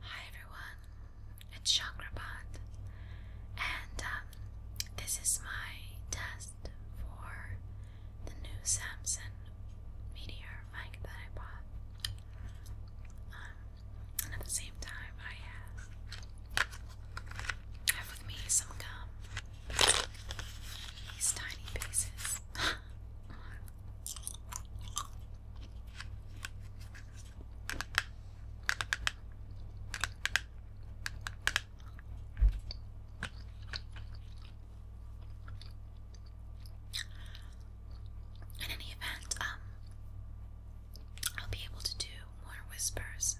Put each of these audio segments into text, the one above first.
Hi everyone, it's Chakrabot, and um, this is my test for the new Samsung Meteor mic that I bought. Um, and at the same time, I have, with me some gum. These tiny pieces. In any event, um, I'll be able to do more whispers.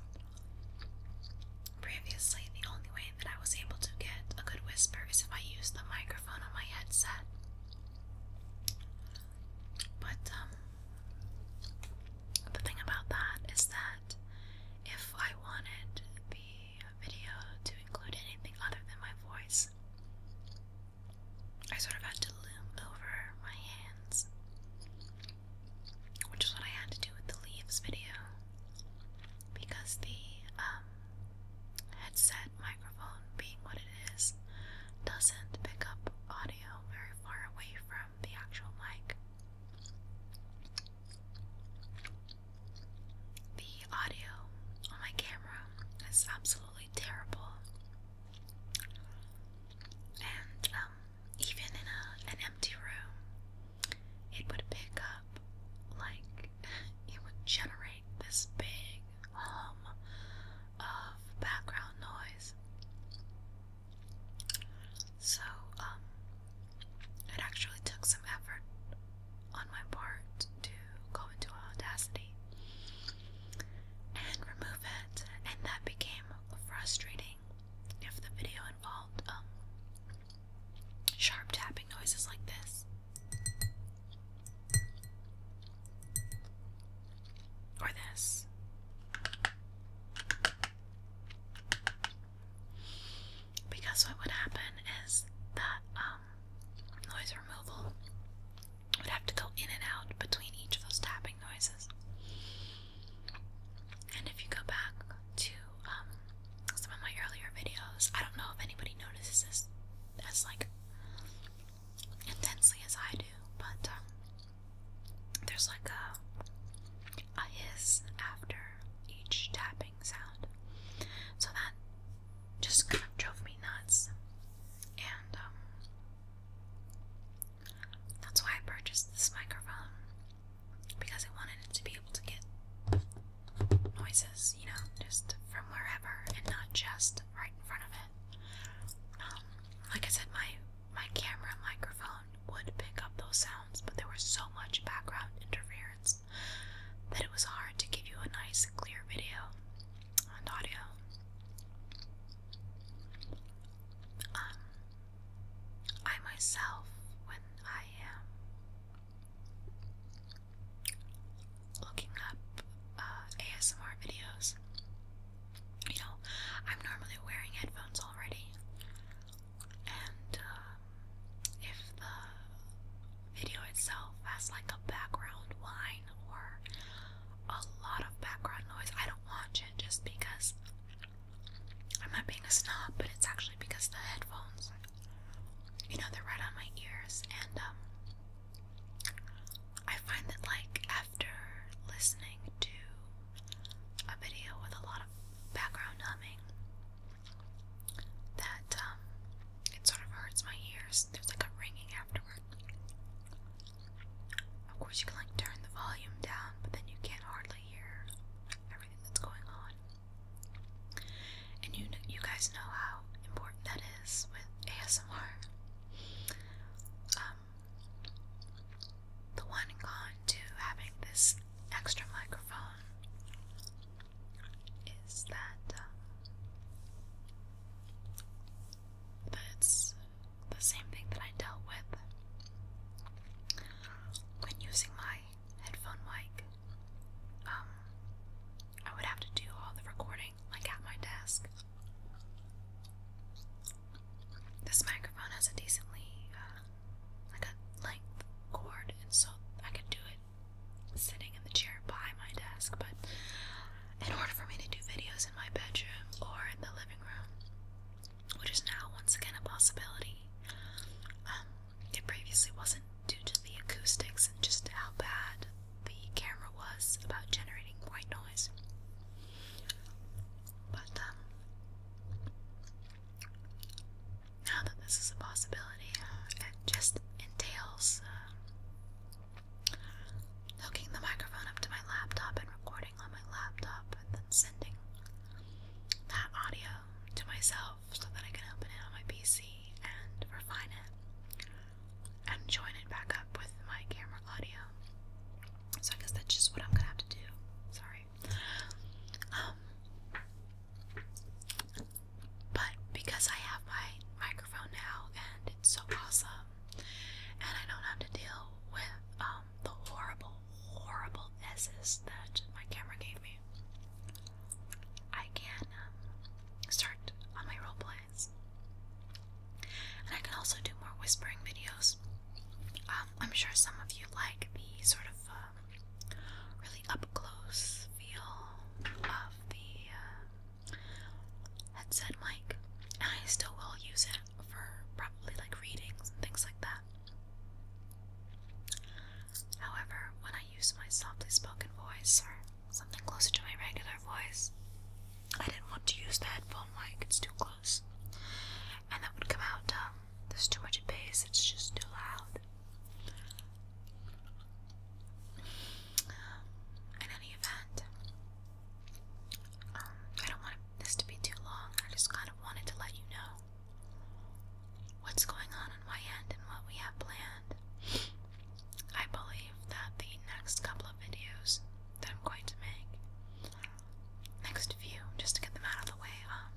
Previously, the only way that I was able to get a good whisper is if I used the microphone microphone on my headset. But um, the thing about that is that if I wanted the video to include anything other than my voice, I sort of had to loom over my hands, which is what I had to do with the leaves video because the um, headset microphone, being what it is, doesn't pick up audio very far away from the actual mic. The audio on my camera is absolutely terrible, and um, even in a, an empty room, it would pick up like it would generate this big hum of background noise. So, um, it actually took some effort on my part to go into Audacity and remove it, and that became frustrating if the video involved um, sharp tapping noises like this. Or this. Because what would happen is that um, noise removal would have to go in and out between each of those tapping noises. And if you go back to um, some of my earlier videos. I don't know if anybody notices this as like intensely as I do, but um, there's like a, a hiss after each tapping sound. So that just kind of drove me nuts. And um, that's why I purchased this microphone because I wanted it to be able to get noises, you know, just from wherever and not just right in front of it. Um, like I said, my my camera microphone would pick up those sounds, but there was so much background interference that it was hard to give you a nice clear video and audio. Um, I myself, when I am looking up uh, ASMR videos. You know, I'm normally wearing headphones already, and uh, if the video itself has like a background whine or a lot of background noise, I don't watch it just because I'm not being a snob, but it's actually because the headphones, you know, they're right on my ears, and um, I find that like after listening to a video with a lot of background humming, that um, it sort of hurts my ears. There's like a ringing afterward. Of course, you can like turn the volume down, but then you can't hardly hear everything that's going on. And you you guys know how important that is with ASMR. Um, the one con to having this extra microphone is that um, the same thing that I dealt with when using my headphone mic. Um, I would have to do all the recording like at my desk. This microphone has a decently uh, like a length cord, and so I can do it sitting in the chair by my desk. But in order for me to do videos in my bedroom or in the living room, which is now once again a possibility. Um, it previously wasn't due to the acoustics and just how bad the camera was about generating white noise. But um, now that this is a possibility, uh, it just entails uh, hooking the microphone up to my laptop and recording on my laptop and then sending that audio to myself so that I can open it on my PC and refine it and join it back up with my camera audio. So I guess that's just what I'm gonna have to do. Sorry. Um, but because I have my microphone now and it's so awesome and I don't have to deal with um, um, the horrible, horrible S's that my camera gave me, I can um, start on my role plays. And I can also do more whispering videos. Um, I'm sure some of you like the sort of really up close feel of the uh, headset mic. And I still will use it for probably like readings and things like that. However, when I use my softly spoken voice or something closer to my regular voice, I didn't want to use the headphone mic, it's too close. And that would come out, um, there's too much bass, it's just too loud. Um, in any event, um, I don't want this to be too long, I just kind wanted to let you know what's going on on my end and what we have planned. I believe that the next couple of videos that I'm going to make, next few, just to get them out of the way, um,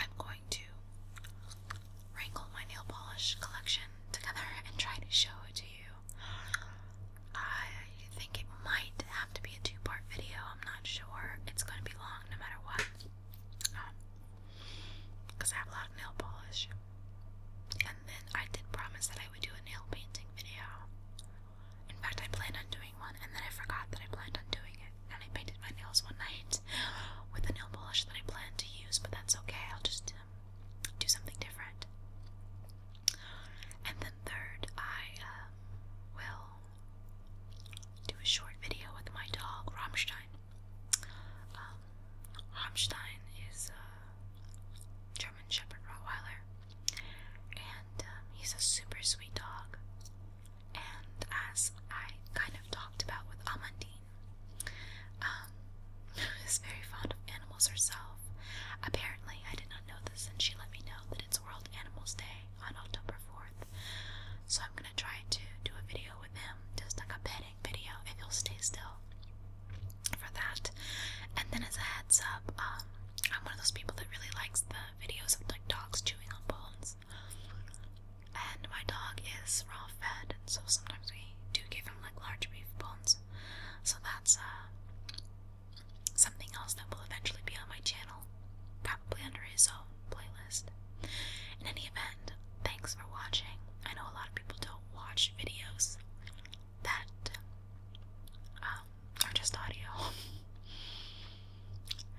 I'm going to wrangle my nail polish collection together and try to show it to you. I think it might have to be a two part video, I'm not sure. It's going to be long no matter what. Because um, I have a lot of nail polish. And then I did promise that I would do a nail painting video. In fact, I planned on doing one, and then I forgot that I planned on doing it. And I painted my nails one night with a nail polish that I planned to use, but that's okay. I'll just um, do something different. And then third, I uh, will do a short video with my dog Ramstein. Um, Ramstein is a German Shepherd Rottweiler, and um, he's a super sweet dog. And as I kind of talked about with Amandine, um, he's very fond of animals herself. Apparently, I did not know this, and she let me know that it's World Animals Day on October 4th. So I'm gonna try to do a video with him, just like a petting video, if he'll stay still for that. And then as a heads up, um, I'm one of those people that really likes the videos of like dogs chewing on bones. And my dog is raw fed, so sometimes we do give him like large beef bones. So that's uh Something else that will eventually be on my channel, probably under his own playlist. In any event, thanks for watching. I know a lot of people don't watch videos that um, are just audio.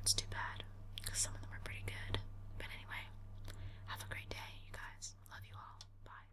it's too bad, because some of them are pretty good. But anyway, have a great day, you guys. Love you all. Bye.